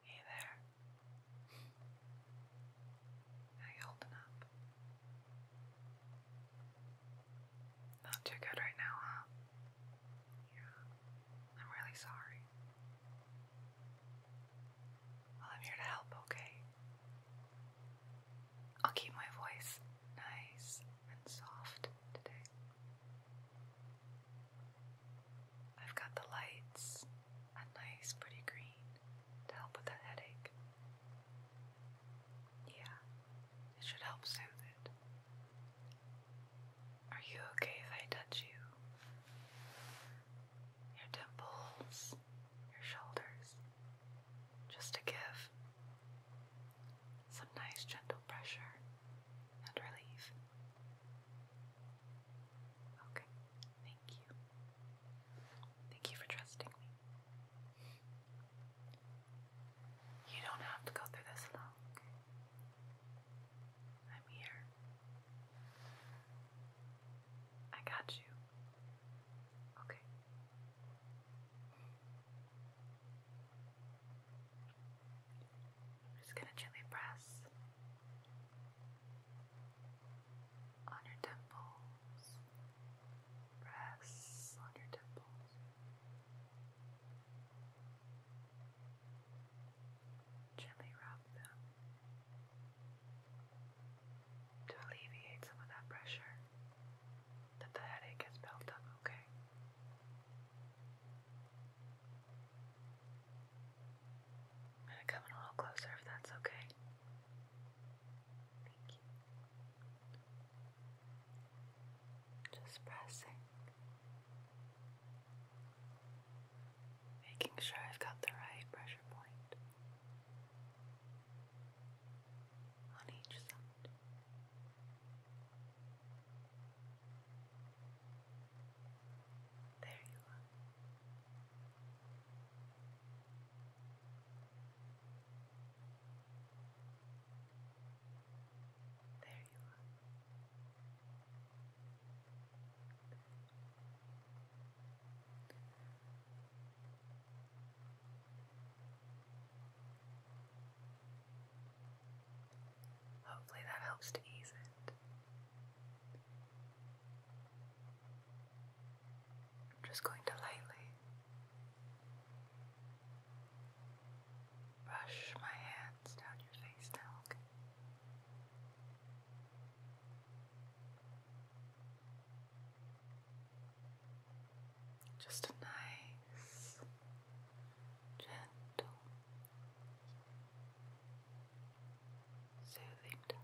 Hey there. How you holding up? Not too good right now, huh? Yeah. I'm really sorry. Well, I'm here to help, okay? I'll keep my voice nice and soft today. I've got the lights, a nice pretty green to help with that headache. Yeah, it should help soothe it. Are you okay if I touch you? Your temples, your shoulders, just to give some nice gentle pressure and relief. Okay, thank you. Thank you for trusting me. You don't have to go through this alone. I'm here. I got you. Okay just gonna gently press on your temples. Press on your temples. Gently rub them to alleviate some of that pressure that the headache has built up, okay? I'm going a little closer if that's okay. Thank you. Just pressing. Making sure I've got the right pressure point on each side. There you are. There you are. Hopefully that helps to ease it. I'm just going to lightly brush my hands down your face now, okay? Just a nice, gentle soothing touch.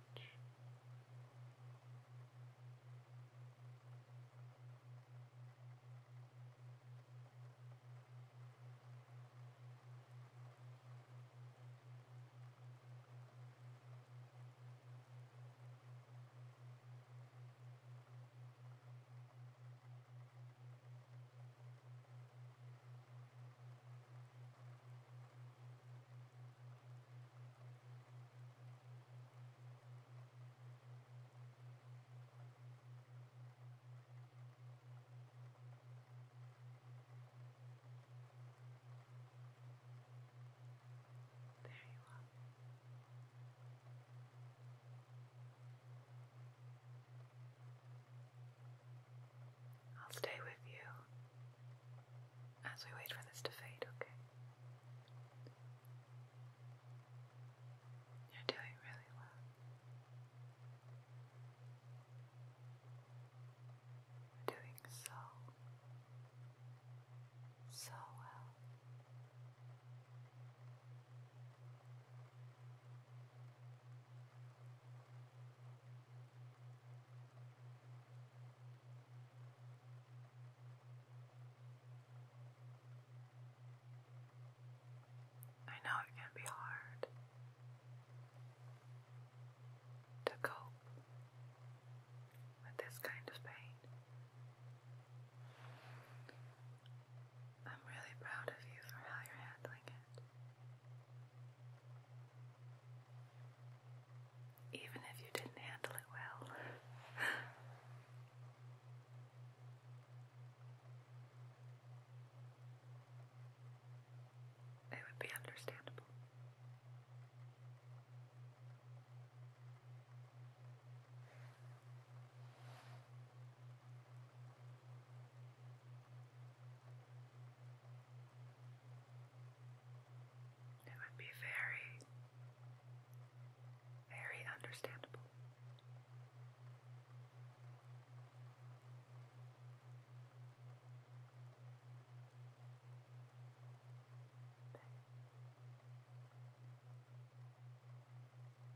There you are. I'll stay with you as we wait for this to fade, okay? You're doing really well. You're doing so, so well. I know it can be hard to cope with this kind of pain. I'm really proud of you for how you're handling it. Even if you didn't handle it well. it would be understandable. It would be very, very understandable.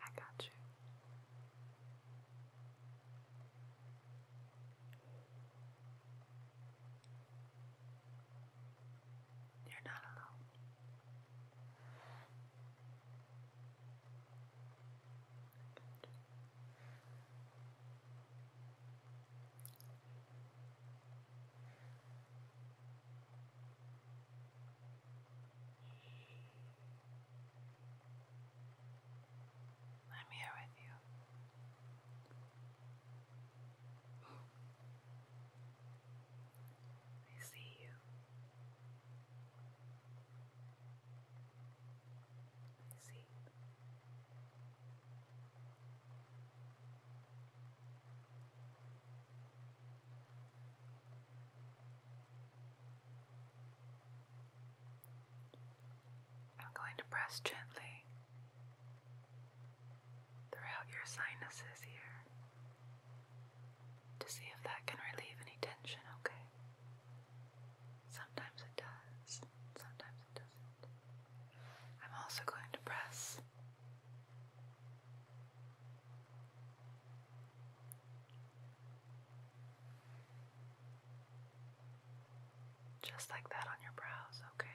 I got you. You're not alone. I'm here with you. I see you. I see I'm going to press gently throughout your sinuses here to see if that can relieve any tension, okay? Sometimes it does, sometimes it doesn't. I'm also going to press just like that on your brows, okay?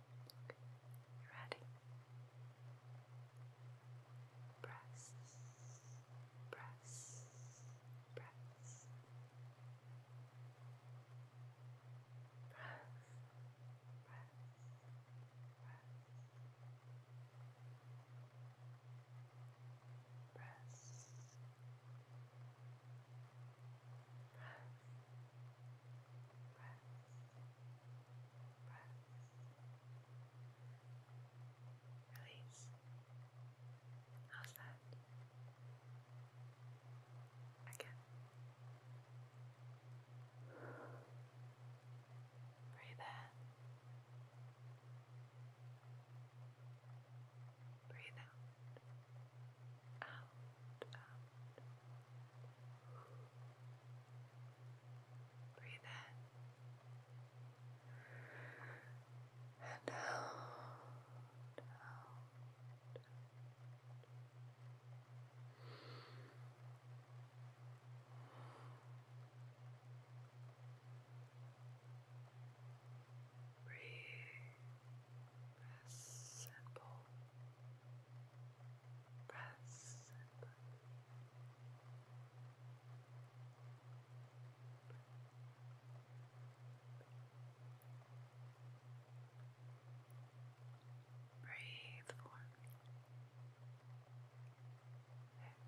Ready? Press, press, press. Press, press, press. Press. Press. Press. Release. How's that? Again. Breathe in. Breathe out. Out, out. Breathe in and out, out. Breathe, simple press and Breathe for me. Six. Six.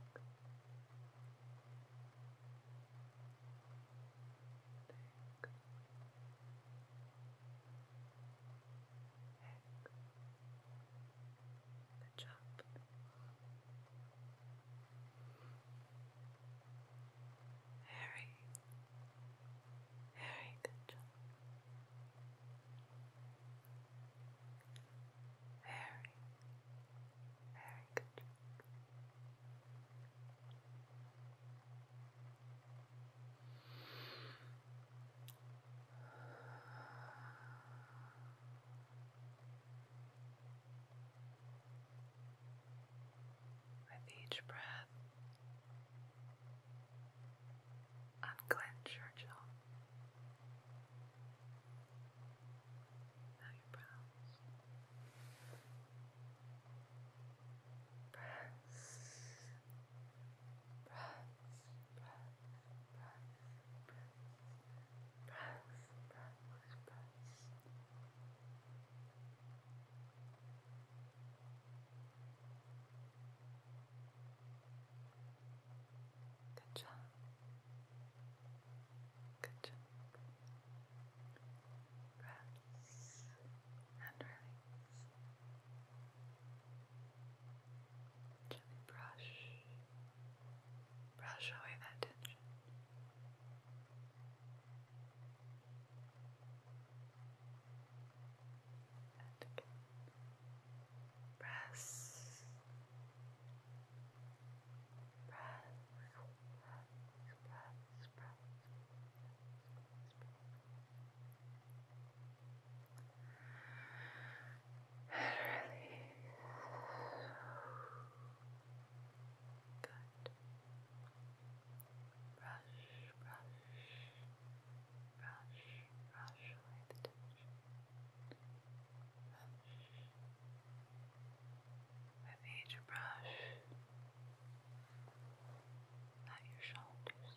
Good job. Very, very good job. Very, very good with each breath, unclench your jaw. Now your brows. Press Good job. Good job. Press and release. Gently brush, brush away that tension. And press, press, press, press, press, press, press. Good. Brush, brush, brush, brush away the tension. Brush. With brush, at your shoulders.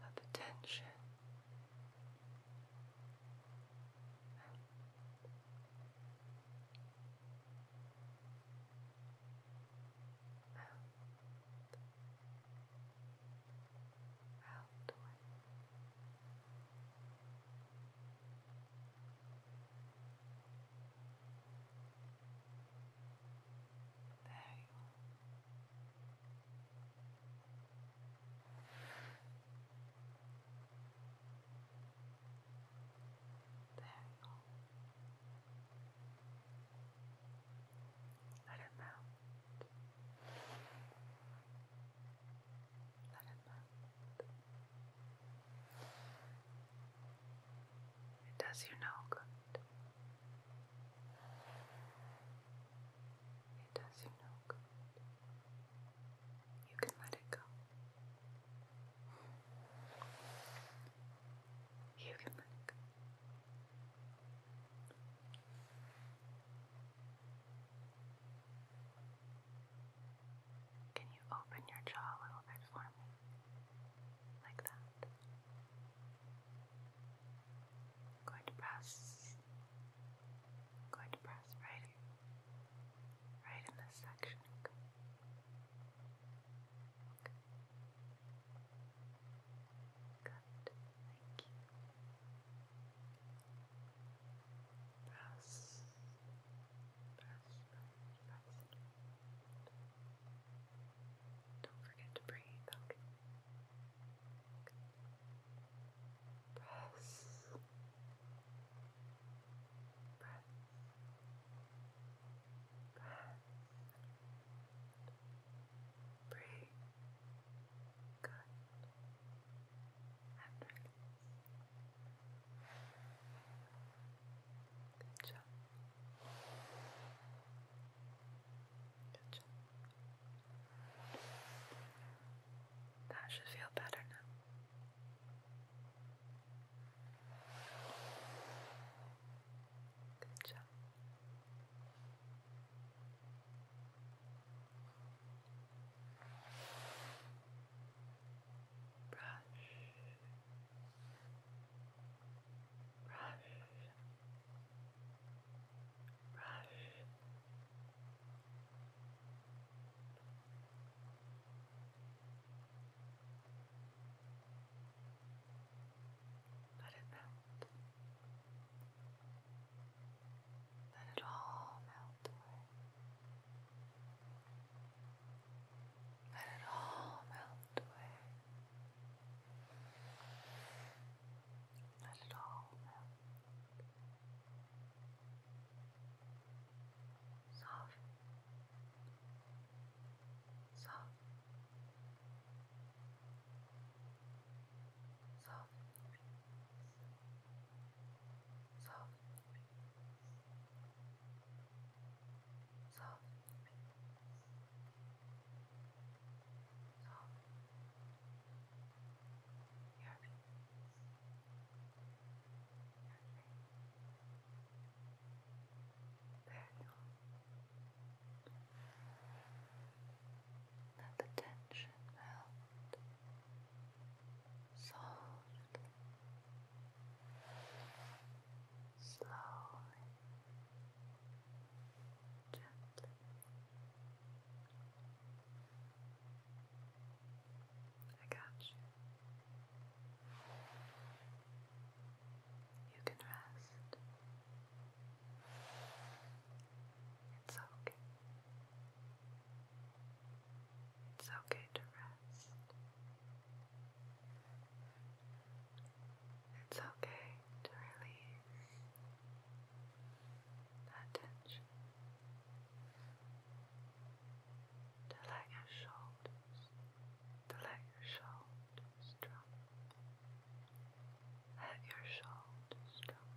that the tension out, out, out away. There you are. There you are. Let it melt. Let it melt. It does you no good. It does you no good. You can let it go. You can let it go. Can you open your jaw a little bit for me? Like that going to press, going to press right right in this section. Okay. Good, thank you. Press, press, press, don't forget to breathe, Press. Press. Press. Breathe. Good. And Good job. That should feel better now. Good job. Brush, brush, brush. Let it melt. Let it all melt away. Let it all melt away. Let it all melt. Soft. Soft. Soft. Soft. So soft, your face, there you are. Let the tension melt softly slowly, gently. I got you. You can rest. It's okay. It's okay to rest. It's okay to release that tension, to let your shoulders, to let your shoulders drop, let your shoulders drop,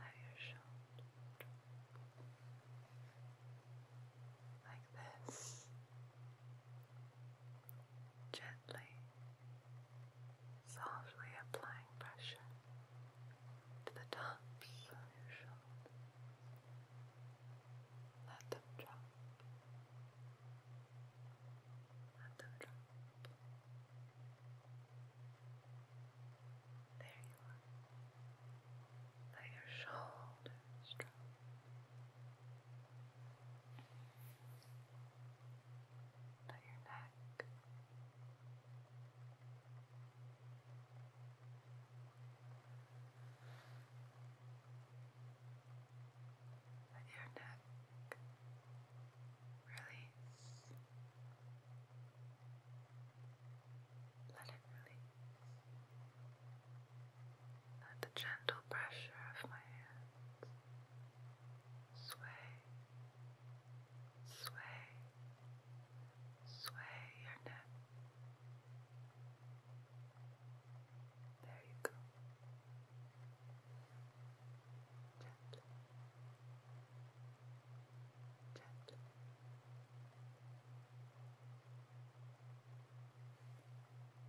let your shoulders drop. Like this, Gently, softly applying pressure to the tops of your shoulders. Let them drop. Let them drop. There you are. Let your shoulders drop down your neck. Let your neck release. Let it release. Let the gentle pressure of my hands sway, sway, sway your neck. There you go. Gently, gently.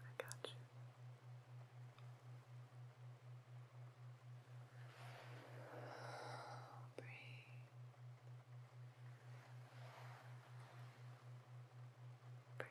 I got you. Breathe. Breathe. Breathe.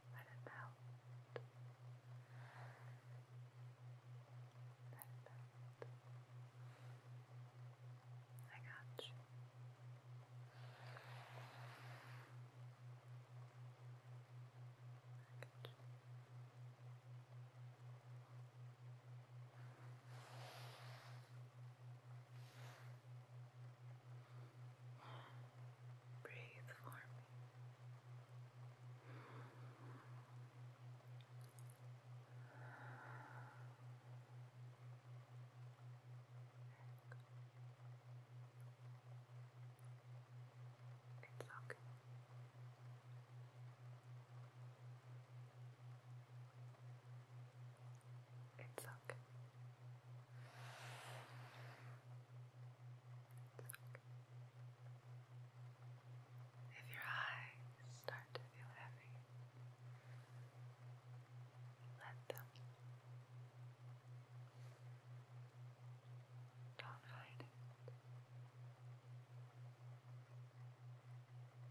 Let it melt. Let it melt. I got you. I got you. Breathe for me. It's okay. It's okay. If your eyes start to feel heavy, let them. Don't hide it.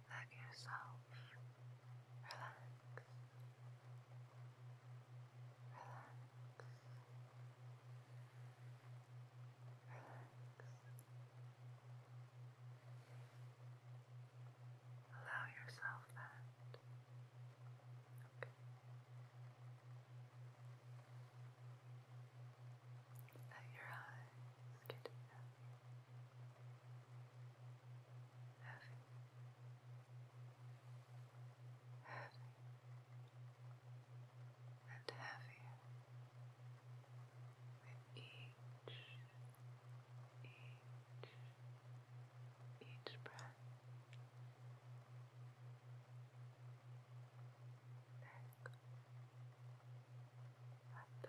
Let yourself relax. Allow yourself that. Okay. Let your eyes get Heavy heavy and heavier with each, each, each breath. Neck, at the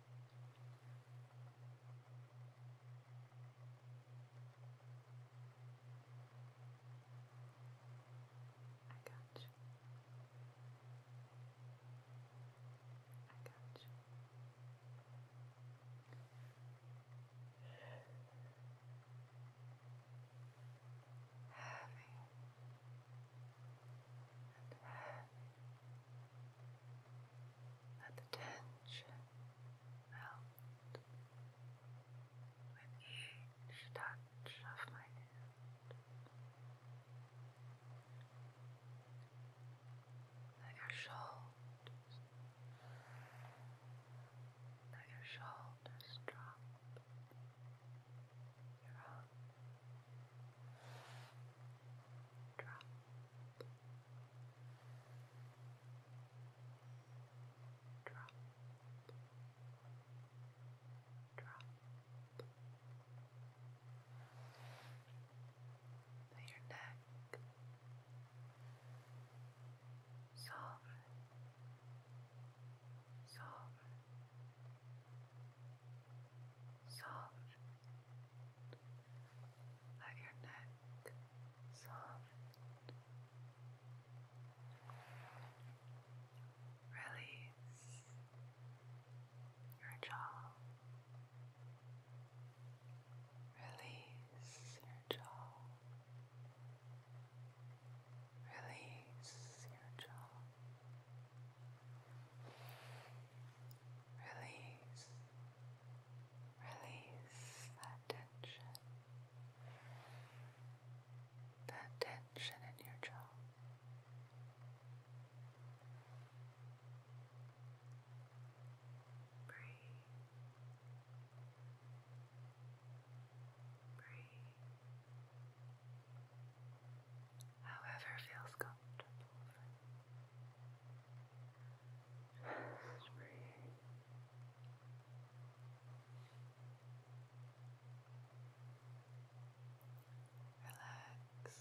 I got you. I got you. Heavy and heavy let the tension melt with each touch of my hand. Let your shoulders, let your shoulders drop. Your arms drop. Your drop, drop. your neck, soft, soft, soft, let your neck soften. Release your jaw. Release your jaw. Release your jaw. Release. Release that tension. That tension in your jaw. Breathe. Breathe. However feels comfortable for you. Just breathe. Relax. Relax.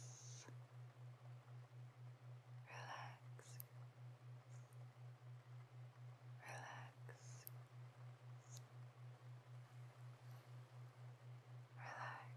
Relax. Relax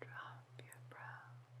Drop your brows.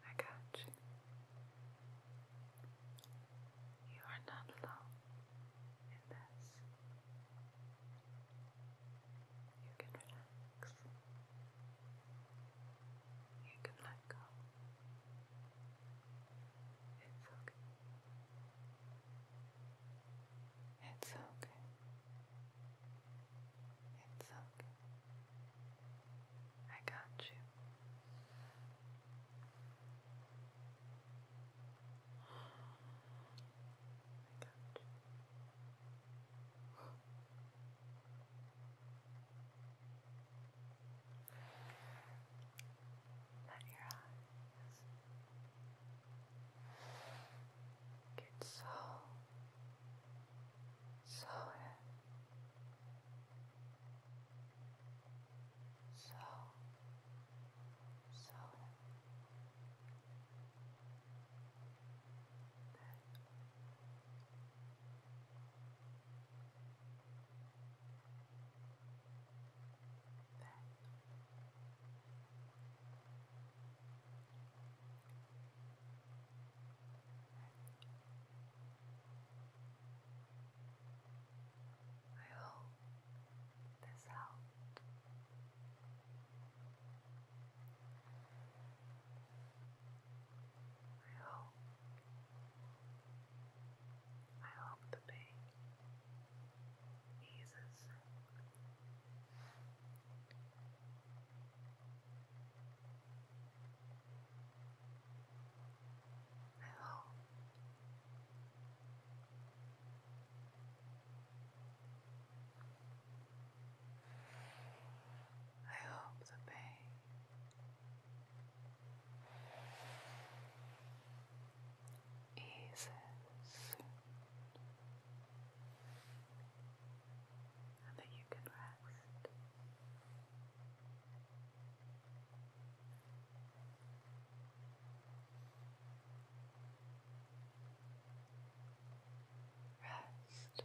I got you. You are not alone in this. You can relax. You can let go. It's okay. It's okay. It's okay. I got you. I got you. Let your eyes get so slower, so slower. Back. Back. I hope this helped. I hope. I hope the pain eases. I hope I hope the pain eases and that you can rest. Rest now. Rest.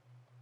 Rest. Rest.